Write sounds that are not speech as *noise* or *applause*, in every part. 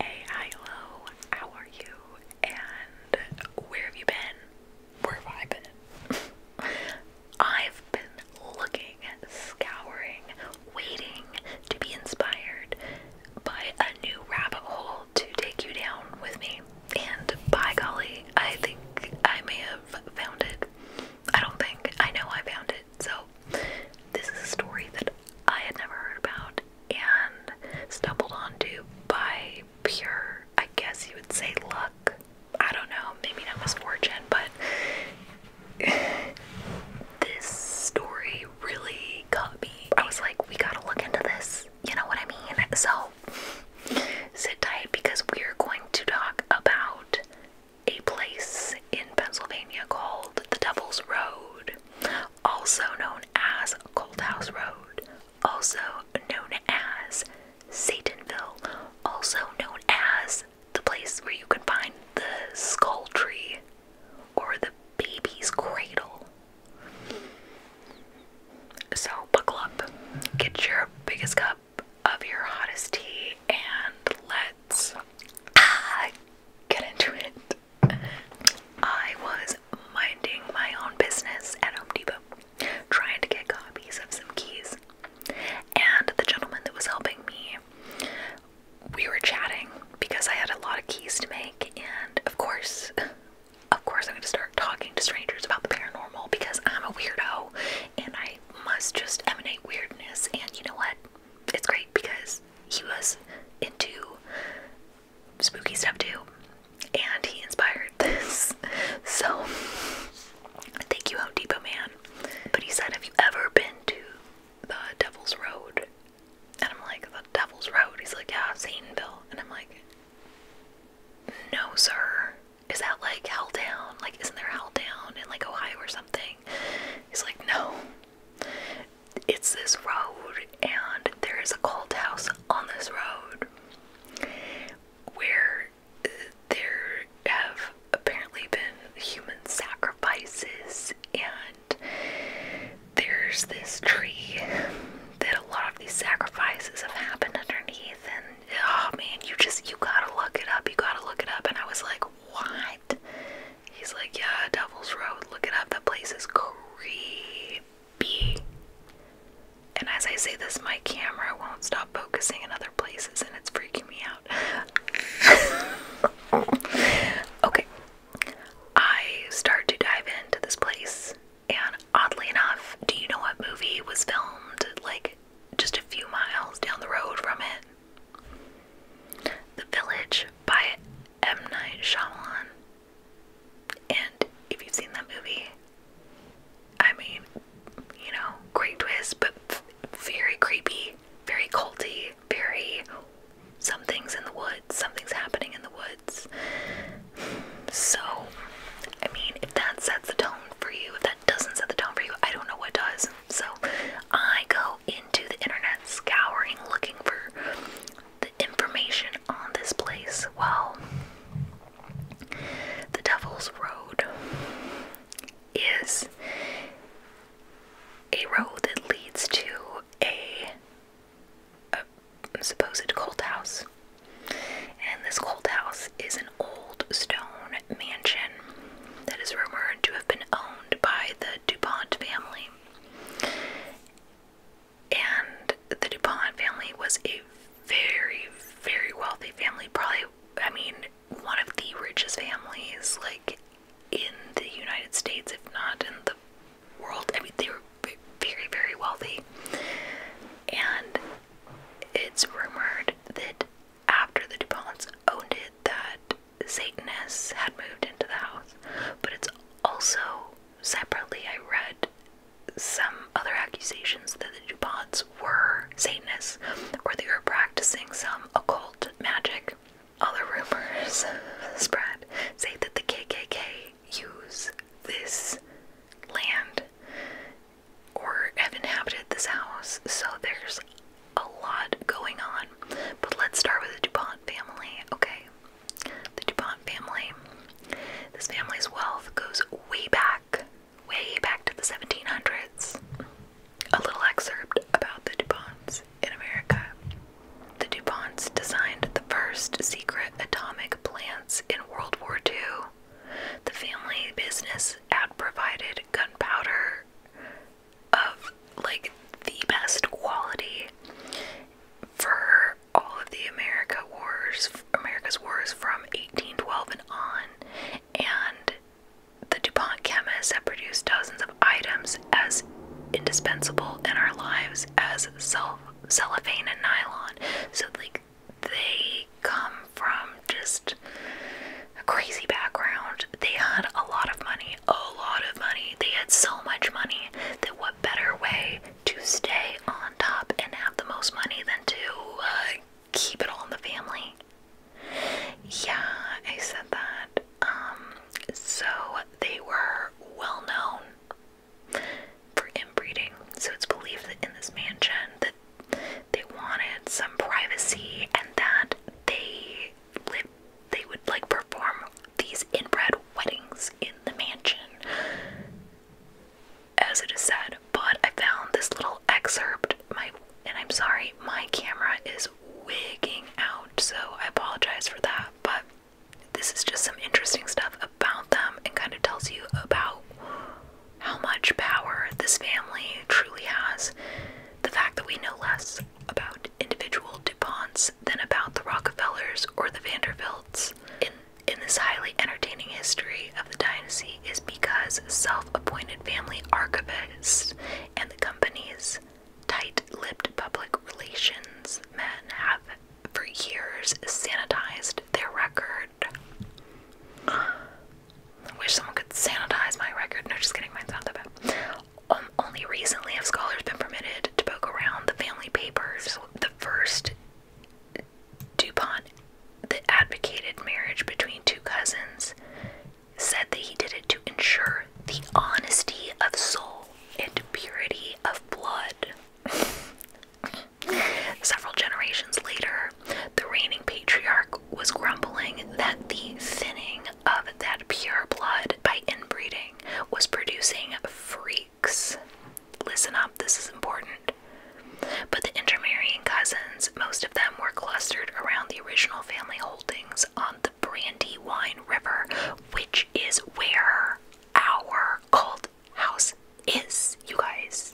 Hey, hi, How are you? And where have you been? Where have I been? *laughs* I've been looking, scouring, waiting to be inspired by a new rabbit hole to take you down with me. And by golly, I think I may have found it. I don't think. I know I found it. So, this is a story that I had never heard about and stumbled onto by pure, I guess you would say, luck. I don't know, maybe not misfortune, but *sighs* this story really got me. I was like, we gotta look into this. You know what I mean? So, sit tight because we are going to talk about a place in Pennsylvania called the Devil's Road, also known as Cold House Road, also known as Satanville, also known as the place where you can find the skull tree or the baby's cradle. So, buckle up, get your biggest cup of your hottest tea and let's ah, get into it. I was minding my own business at Home Depot, trying to get copies of some keys, and the gentleman that was helping me, we were chatting because I had a lot of keys to make, and of course, of course, I'm going to start talking to strangers about the paranormal because I'm a weirdo and I must just emanate weirdness. And you know what? it's great because he was into spooky stuff too, and he inspired *laughs* this. So, thank you, Home Depot man. But he said, "Have you ever been to the Devil's Road?" And I'm like, "The Devil's Road?" He's like, "Yeah, Zaneville." And I'm like, "No, sir." Is that like Helltown? Like, isn't there Helltown in like Ohio or something? He's like, no, it's this road, and there is a cult house on this road where uh, there have apparently been human sacrifices, and there's this tree that a lot of these sacrifices have happened underneath. And oh man, you just you gotta look it up, you gotta look it up. And I was like, what? He's like, yeah, Devil's Road. Look it up. That place is creepy. And as I say this, my camera won't stop focusing in other places, and it's freaking me out. *laughs* okay. I start to dive into this place, and oddly enough, do you know what movie was filmed like just a few miles down the road from it? The Village by M. Night Shyamalan. And if you've seen that movie, I mean, you know, great twist, but very creepy, very culty, very something's in the woods, something's happening in the woods. So, I mean, if that sets the tone for you, if that doesn't set the tone for you, I don't know what does. So I go into the internet scouring looking for the information on this place. Well, the Devil's Road is a road that leads to a, a supposed cult house. And this cult house is an old stone mansion that is rumored to have been owned by the DuPont family. And the DuPont family was a very, very wealthy family. Probably, I mean, one of the richest families, like in the United States, if not in the world. I mean, they were very, very wealthy. And it's rumored that after the DuPonts owned it that Satanists had moved into the house, but it's also separately I read some other accusations that the DuPonts were Satanists or they were practicing some occult magic. Other rumors *laughs* spread say that the KKK use this land or have inhabited this house, so there's a lot going on. But let's start with the DuPont family, okay? The DuPont family. This family's wealth goes way back, way back to the 1700s. A little excerpt about the DuPonts in America. The DuPonts designed the first secret atomic plants in World War II the family business had provided gunpowder of like the best quality for all of the America wars, America's wars from 1812 and on, and the DuPont chemists had produced dozens of items as indispensable in our lives as self cellophane and nylon. So like they come from just a crazy background. They had a lot of money, a lot of money. They had so much money that what better way to stay on top and have the most money than to uh, keep it all in the family? Yeah, I said that. Um, so they were well known for inbreeding. So it's believed that in this mansion that they wanted some privacy and that they lived they would like perform these inbred weddings in the mansion as it is said but i found this little excerpt my and i'm sorry my camera is wigging out so i apologize for that but this is just some interesting stuff about them and kind of tells you about how much power this family truly has, the fact that we know less about individual DuPonts than about the Rockefellers or the Vanderbilts in, in this highly entertaining history of the dynasty is because self appointed family archivists and the company's tight lipped public relations men have for years sanitized their record. I wish someone could sanitize my record. No, just kidding, mine's not that bad. Um, only recently have scholars been permitted to poke around the family papers. the first DuPont that advocated marriage between two cousins said that he did it to ensure the honesty of soul and purity of blood. *laughs* Several generations later, the reigning patriarch was grumbling that the thinning of that pure blood by inbreeding was producing freaks. Listen up, this is important. But the intermarrying cousins, most of them were clustered around the original family holdings on the Brandywine River, which is where our cult house is, you guys.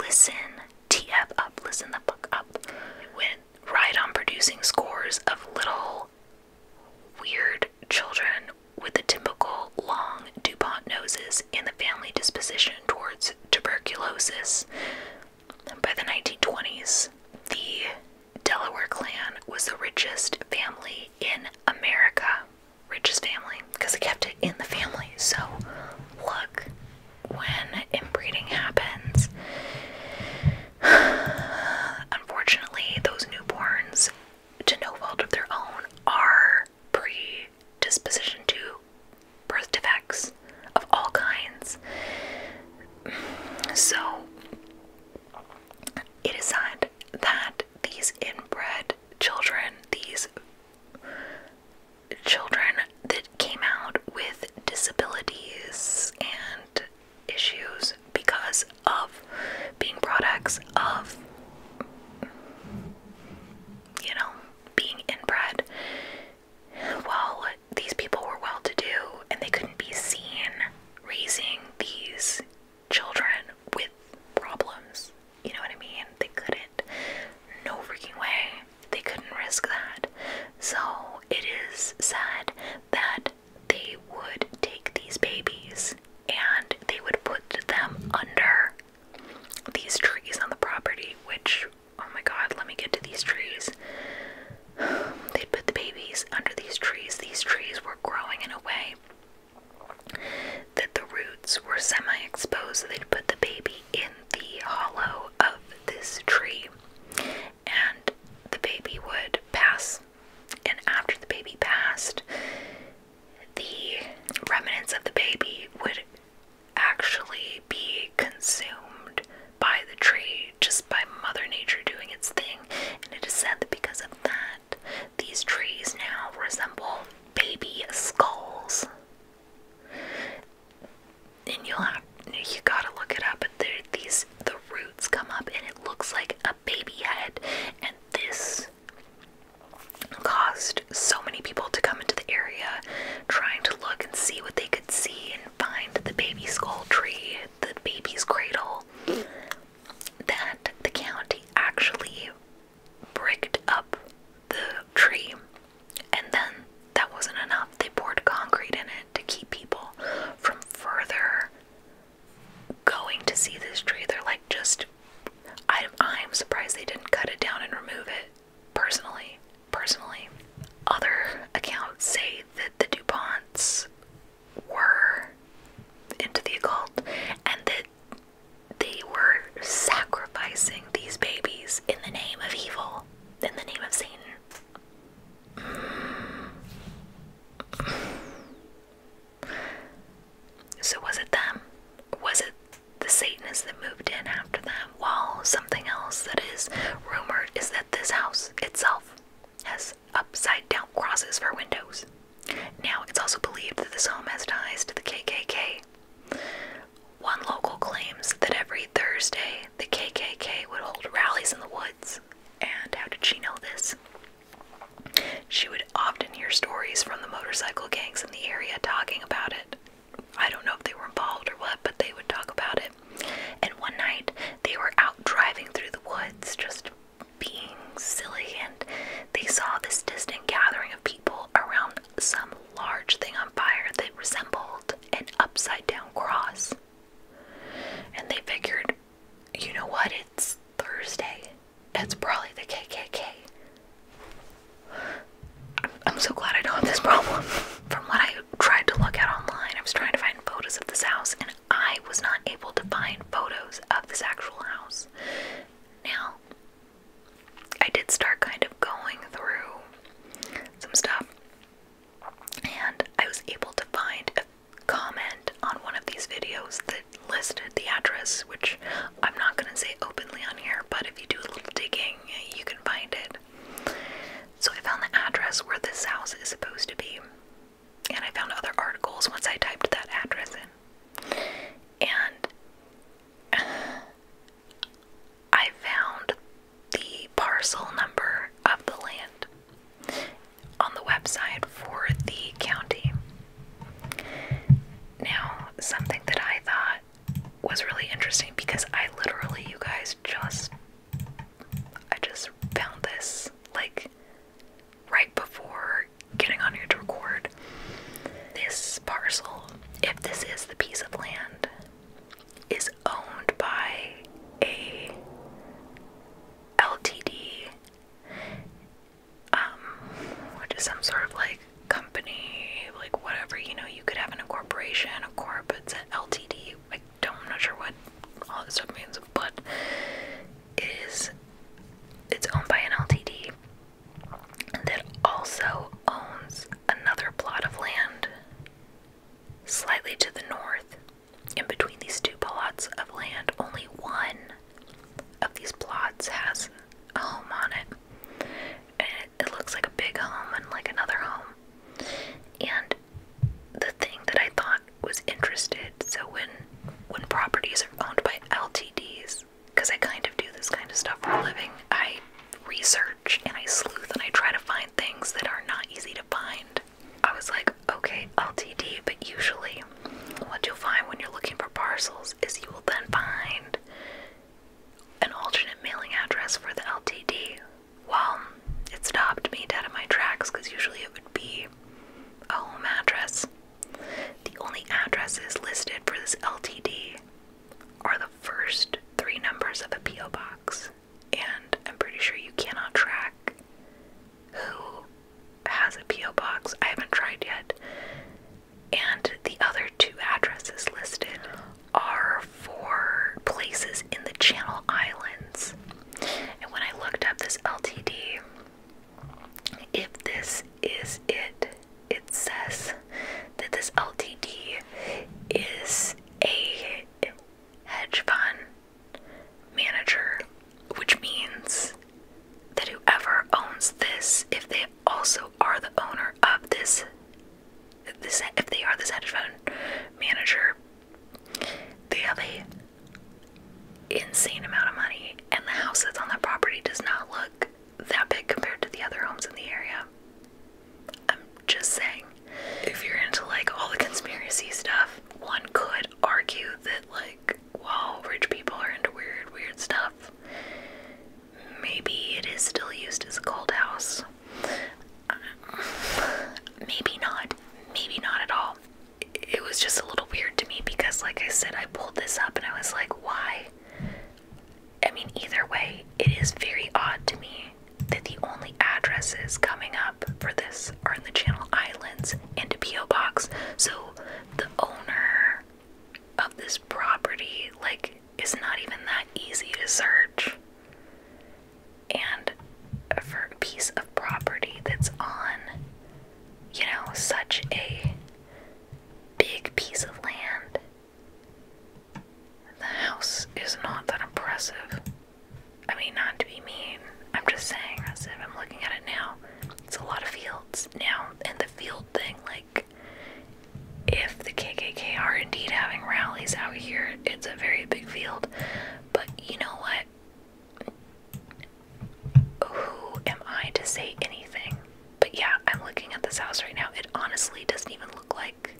Listen, TF up, listen the fuck up. Went right on producing scores of little weird children with the typical long DuPont noses and the family disposition towards tuberculosis. By the 1920s, the Delaware clan was the richest family in America. Richest family because it kept it in the family. So, look, when inbreeding happens, *sighs* unfortunately, those newborns, to no fault of their own, are predisposition to birth defects of all kinds. *sighs* So, it is sad that these inbred children, these children that came out with disabilities and issues because of being products of, you know, being inbred. While these people were well to do and they couldn't be seen raising these children with problems you know what I mean? They couldn't. No freaking way. They couldn't risk that. So it is sad that they would take these babies and they would put them under these trees on the property, which, oh my god, let me get to these trees. *sighs* they put the babies under these trees. These trees were growing in a way that the roots were semi exposed, so they'd put the baby in the hollow of this tree and the baby would pass. And after the baby passed, the remnants of the baby would actually be consumed by the tree just by Mother Nature doing its thing. And it is said that because of that, these trees now resemble baby skulls and you'll have you gotta look it up. But these the roots come up, and it looks like a baby head. And this caused so many people to come into the area, trying to look and see what they could see and find the baby skull tree, the baby's cradle. That the county actually bricked up the tree, and then that wasn't enough. They poured concrete in it to keep people from further going to see this tree. They're like, just I'm, I'm surprised they didn't cut it down and remove it. Personally, personally, other accounts say that the DuPonts were into the occult and that they were sacrificing these babies in the name of evil, in the name of Satan. So, was it them? Was it the Satanists that moved in after them? Well, something else that is rumored is that this house itself has upside down crosses for windows. Now, it's also believed that this home has ties to the KKK, one local claims that every Thursday the KKK would hold rallies in the woods. And how did she know this? She would often hear stories from the motorcycle gangs in the area talking about it. I don't know if they were involved or what, but they would talk about it. And one night they were out driving through the woods, just being silly, and they saw this distant gathering of people around some large thing on fire that resembled an upside down cross. And they figured, you know what, it's Thursday. It's probably the KKK. I'm, so glad I don't have this problem. *laughs* From what I tried to look at online, I was trying to find photos of this house, and I was not able to find photos of this actual house. Now, I did start kind of going through some stuff, and I was able to find a comment on one of these videos that listed the address, which I'm not going to say openly on here, but if you do a little digging, you can find it. So I found the address where this house is supposed to be, and I found other articles once I typed that address in. And *sighs* I found the parcel number of the land on the website for the county. Now, something that I thought was really interesting because I literally, you guys, just I just found this like right before getting on here to record this parcel if this is the piece of land is owned by a ltd um, which is some sort of like company like whatever you know you could have in a corporation a corp it's an ltd i don't i not sure what all this stuff means but it is it's owned by an ltd that also owns another plot of land slightly to the north. In between these two plots of land, only one of these plots has a home on it. And it, looks like a big home and like another home. And the thing that I thought was interested, so when when properties are owned by LTDs, because I kind of do this kind of stuff for a living, I research and I sleuth and I try to find things that are not easy to find. I was like, okay, LTD, but usually what you'll find when you're looking for parcels is you will then find an alternate mailing address for the LTD. Well, it stopped me dead in my tracks because usually it would be a home address the only addresses listed for this LTD are the first three numbers of a P.O. box, and I'm pretty sure you cannot track who has a P.O. box. I haven't tried yet. And the other two addresses listed are for places in the Channel Islands. And when I looked up this LTD, if this is it, it says that this LTD is a hedge fund manager, which means that whoever owns this, if they also are the owner of this, this if they are this hedge fund manager, they have a insane amount of money, and the house that's on that property does not look that big compared to the other homes in the area. I'm just saying, if you're into like all the conspiracy stuff, one could argue that, like, while rich people are into weird, weird stuff, maybe it is still used as a cold house. Um, maybe not. Maybe not at all it was just a little weird to me because, like I said, I pulled this up and I was like, why? I mean, either way, it is very odd to me that the only addresses coming up for this are in the Channel Islands and a P.O. box. So the owner of this property, like, is not even that easy to search. And for a piece of property that's on you know, such a big piece of land. The house is not that impressive. I mean, not to be mean, I'm just saying, as if I'm looking at it now, it's a lot of fields now, and the field thing, like, if the KKK are indeed having rallies out here, it's a very big field. But you know what? Who am I to say anything? But yeah, I'm looking at this house right now. It honestly doesn't even look like.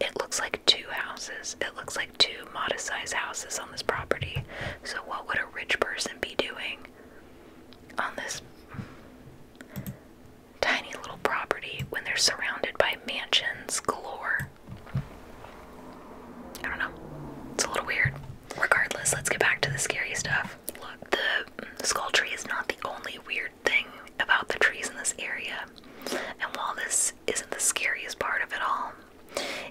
It looks like two houses. It looks like two modest sized houses on this property. So, what would a rich person be doing on this tiny little property when they're surrounded by mansions galore? I don't know. It's a little weird regardless, let's get back to the scary stuff. Look, the skull tree is not the only weird thing about the trees in this area. And while this isn't the scariest part of it all,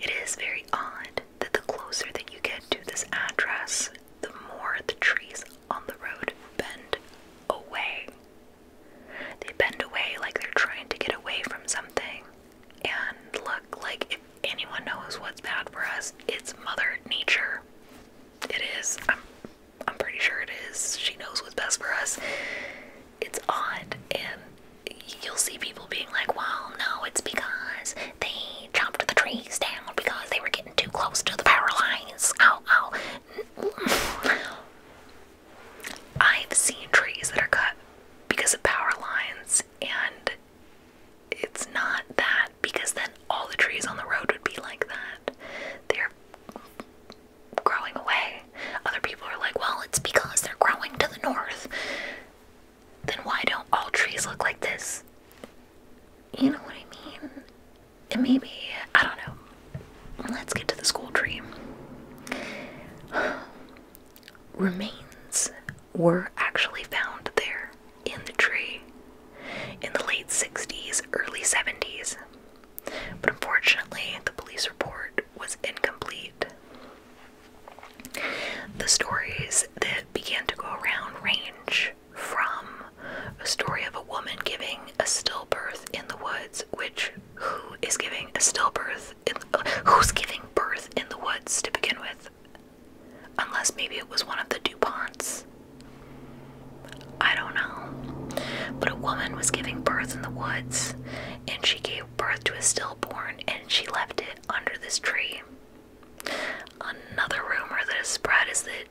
it is very odd that the closer that you get to this address, the more the trees on the road bend away. They bend away like they're trying to get away from something. And look, like, if anyone knows what's bad for us, it's Mother Nature. It is. I'm, I'm pretty sure it is. She knows what's best for us. It's odd, and you'll see people being like, well, no, it's because they chopped the trees down because they were getting too close to the power lines. Oh, ow. I've seen trees that are cut because of power lines, and it's not that because then all the trees on the road would be like that. They're growing away. Other people are like, well, it's because they're growing to the north. Then why don't all trees look like this? You know what I mean? And maybe, I don't know. Let's get to the school tree. Remains were actually found there in the tree in the late 60s, early 70s, but unfortunately, the police report was incomplete. The stories that began to go around range from a story of a woman giving a stillbirth in the woods, which who is giving a stillbirth? In, uh, who's giving birth in the woods to begin with? Unless maybe it was one of the DuPonts. I don't know. But a woman was giving birth in the woods, and she gave birth to a stillborn, and she left it under this tree. Another rumor that has spread is that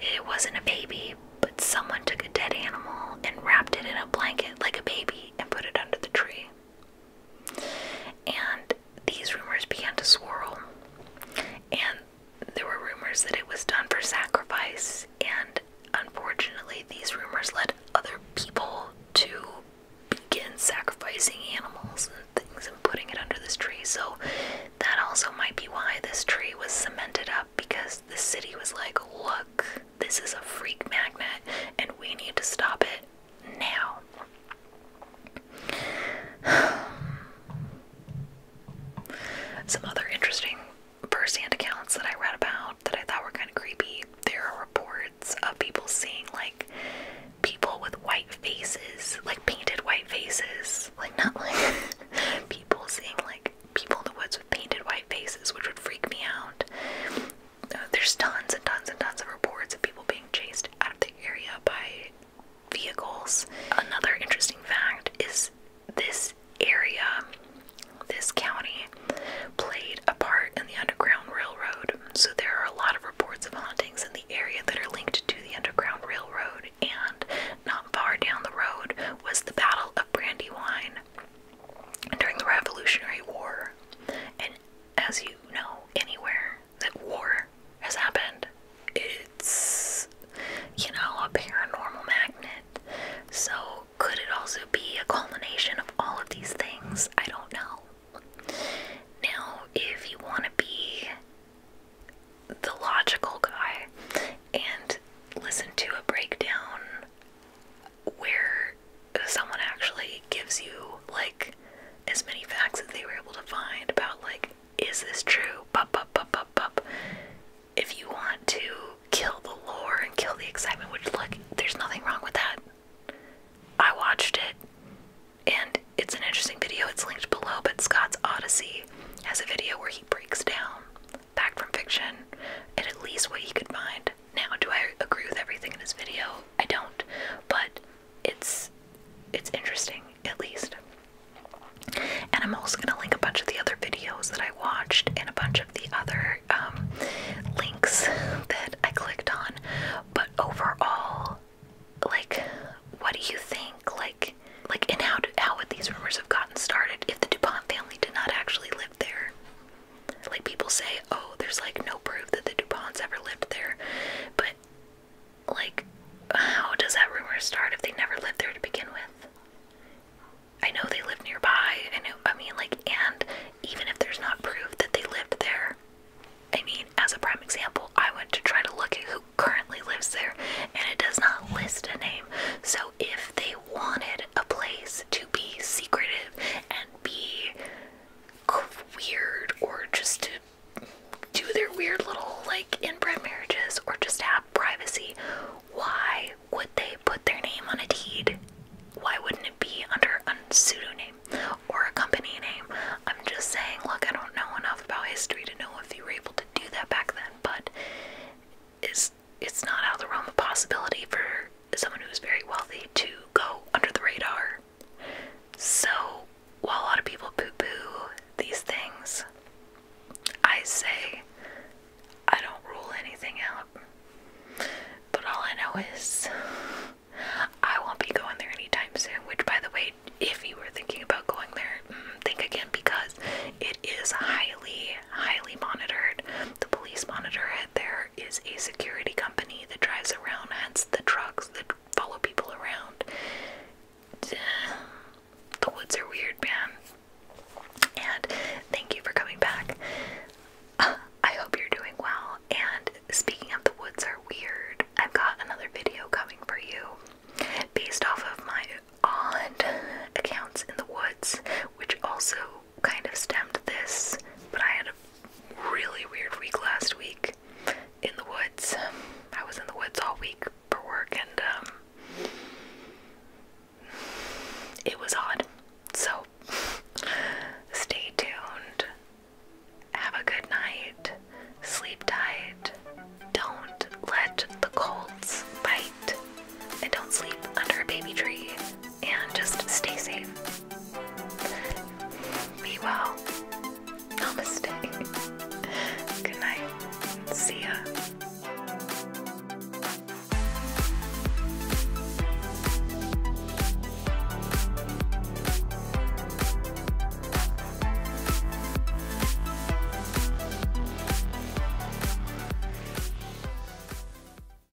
it wasn't a baby, but someone took a dead animal and wrapped it in a blanket like a baby and put it under the tree. And these rumors began to swirl. And there were rumors that it was done for sacrifice. And unfortunately, these rumors led other people to begin sacrificing animals and things and putting it under this tree. So that also might be why this tree was cemented up because the city was like, look, this is a freak magnet and we need to stop it now. *sighs* Some other interesting first-hand accounts that I read about that I thought were kind of creepy. There are reports of people seeing like people with white faces, like painted white faces, like not *laughs* like people seeing like people in the woods with painted white faces, which would freak me out. Uh, there's tons and tons and tons of reports of people being chased out of the area by vehicles. Another interesting fact is this area, this county, played a part in the Underground Railroad. So there are a lot of reports of hauntings in the area that are linked to the Underground Railroad. And not far down the road was the Battle of Brandywine during the Revolutionary War as you know, anywhere that war has happened, it's, you know, a paranormal magnet. So, could it also be a culmination of all of these things? I don't know. Now, if you want to be the logical guy and listen to a breakdown where someone actually gives you like as many facts as they were able to find about like is this true? If you want to kill the lore and kill the excitement, which look, there's nothing wrong with that. I watched it and it's an interesting video. It's linked below, but Scott's Odyssey has a video where he breaks down back from fiction and at least what he could find. Now, do I agree with everything in this video? I don't, but it's it's interesting at least. And I'm also gonna link a bunch of the other videos that I watched and a bunch of the other um, links that I clicked on. But overall, like, what do you think? Like, like, and how do, how would these rumors have gotten started if the Dupont family did not actually live there? Like people say, oh, there's like no proof that the DuPonts ever lived there, but like, how does that rumor start if they never lived there to begin with? I know they live nearby. I know. I mean, like, and even if there's not proof that they lived there, I mean, as a prime example, I went to try to look at who currently lives there, and it does not list a name. So if they wanted a place to be secretive and be weird or just to do their weird little like inbred marriages or just have privacy, why would they put their name on a deed? Why wouldn't it be under a pseudonym or a company name? I'm just saying, look, I don't know enough about history to know if you were able to do that back then, but it's it's not out of the realm of possibility for someone who is very wealthy to go under the radar. So, while a lot of people poo poo these things, I say I don't rule anything out. But all I know is I won't be going there anytime soon, which, by the way, if you were thinking about going there, mm, think again because it is highly, highly monitored. The police monitor it there is a security company that drives around, hence the trucks that follow people around. *sighs* The woods are weird, man. And thank you for coming back. *sighs* I hope you're doing well. And speaking of the woods are weird, I've got another video coming for you based off of my odd accounts in the woods, which also kind of stemmed this, but I had a really weird week last week in the woods. I was in the woods all week for work and um it was odd. So stay tuned. Have a good night. Sleep tight. Don't let the colds bite. And don't sleep under a baby tree and just stay safe. Be well. Namaste. Good night. See ya.